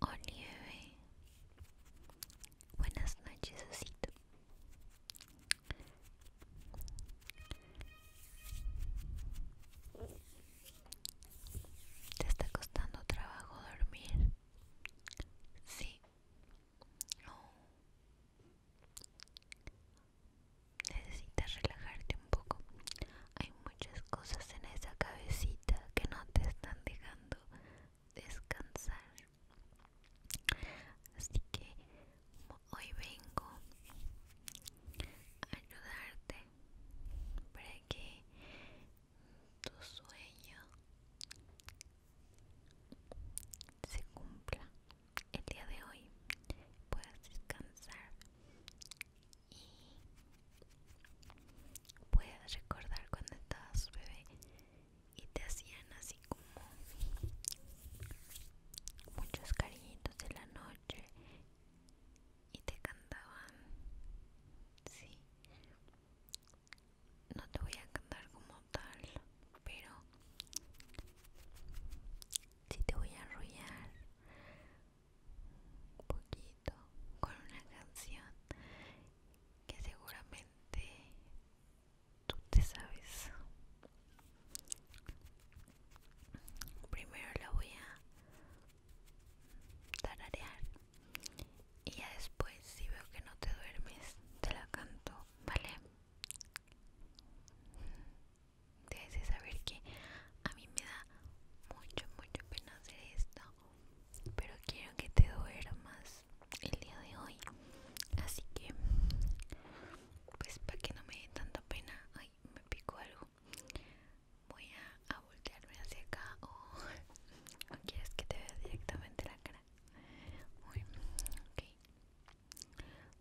Olive, buenas noches, Osito. ¿Te está costando trabajo dormir? Sí. No. Necesitas relajarte un poco. Hay muchas cosas en esa cabecita que no te están dejando descansar. Así que hoy vengo a ayudarte para que tu sueño se cumpla el día de hoy. Puedas descansar y puedas recordar cuando su bebé y te hacían así como muchos cariñitos de la noche y te cantaban sí no te voy a cantar como tal pero sí te voy a enrollar un poquito con una canción que seguramente tú te sabes primero la voy a tararear y ya después si veo que no te duermes te la canto vale debes de saber que a mí me da mucho mucho pena hacer esto pero quiero que te duermas el día de hoy así que pues para que no me dé tanta pena ay me picó algo voy a, voltearme hacia acá o, quieres que te vea directamente la cara muy ok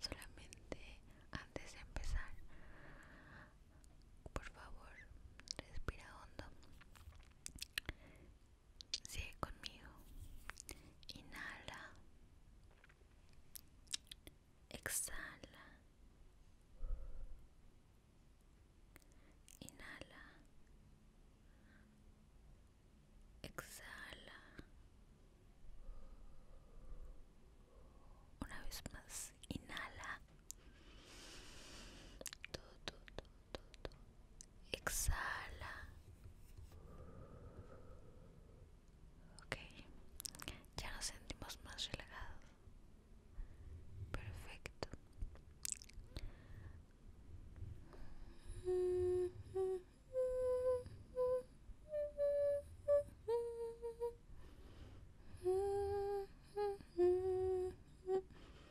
solamente antes de empezar por favor respira hondo Sigue conmigo. Inhala. Exhala. Inhala. Exhala. Una vez más, inhala. Todo, todo, todo exhala okay, ya nos sentimos más relajados perfecto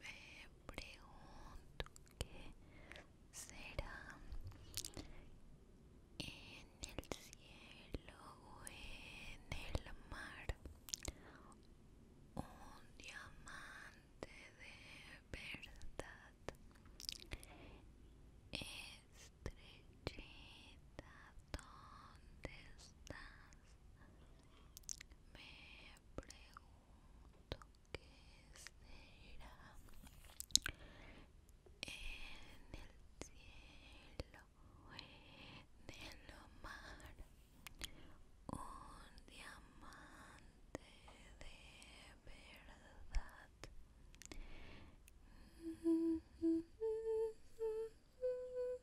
me pregunto qué será en el cielo o en el mar un diamante de verdad ¿Estrechita dónde estás me pregunto será en el cielo en el mar un diamante de verdad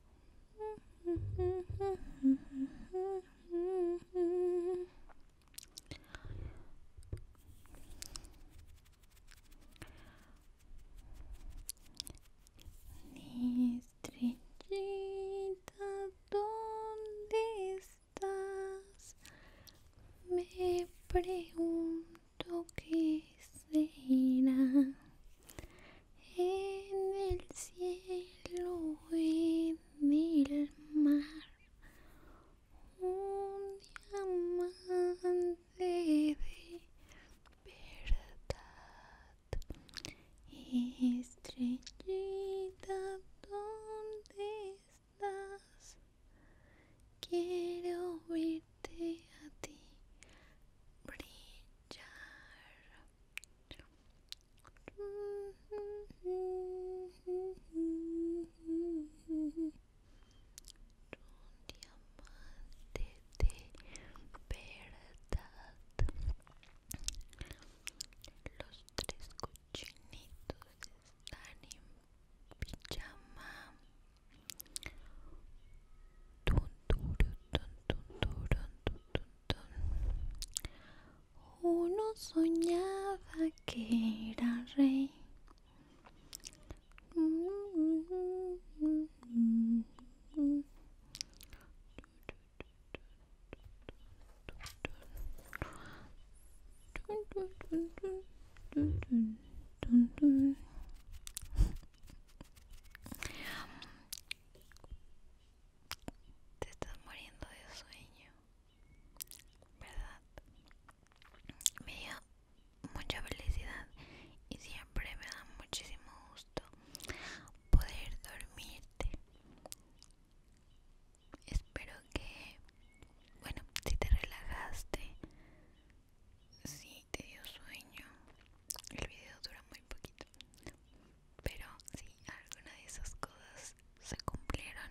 Estrechita, estrellita, ¿dónde estás? Me pregunto qué será en el cielo, en el mar, un diamante de verdad, estrellita, ¿dónde estás? Quiero verte a ti brillar diamante de verdad los tres cochinitos están en pijama Tun, tun, Uno soñaba que era rey. Te estás muriendo de sueño, ¿verdad? Me dio mucha felicidad y siempre me da muchísimo gusto poder dormirte. Espero que, bueno, si te relajaste, si te dio sueño, el video dura muy poquito, pero si alguna de esas cosas se cumplieron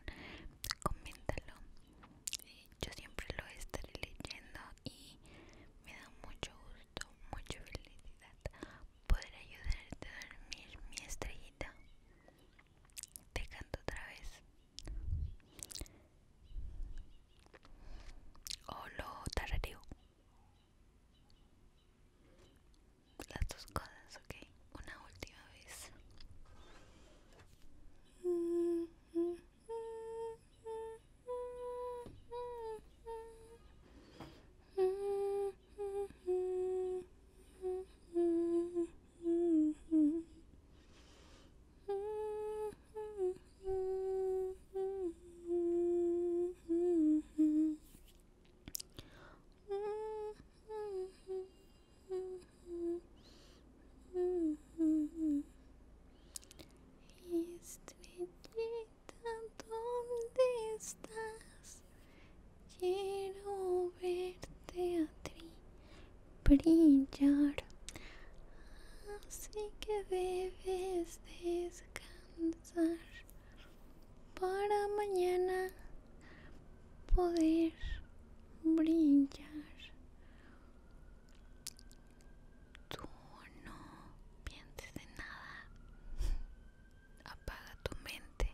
coméntalo eh, yo siempre lo estaré leyendo y me da mucho gusto mucha felicidad poder ayudarte a dormir mi estrellita te canto otra vez hola lo las dos cosas, okay, Una última vez. Estrellita, donde estás? Quiero verte a ti brillar. Así que debes descansar para mañana poder brillar. Tú no pienses de nada. Apaga tu mente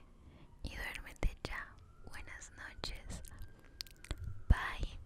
y duérmete ya. Buenas noches. Bye.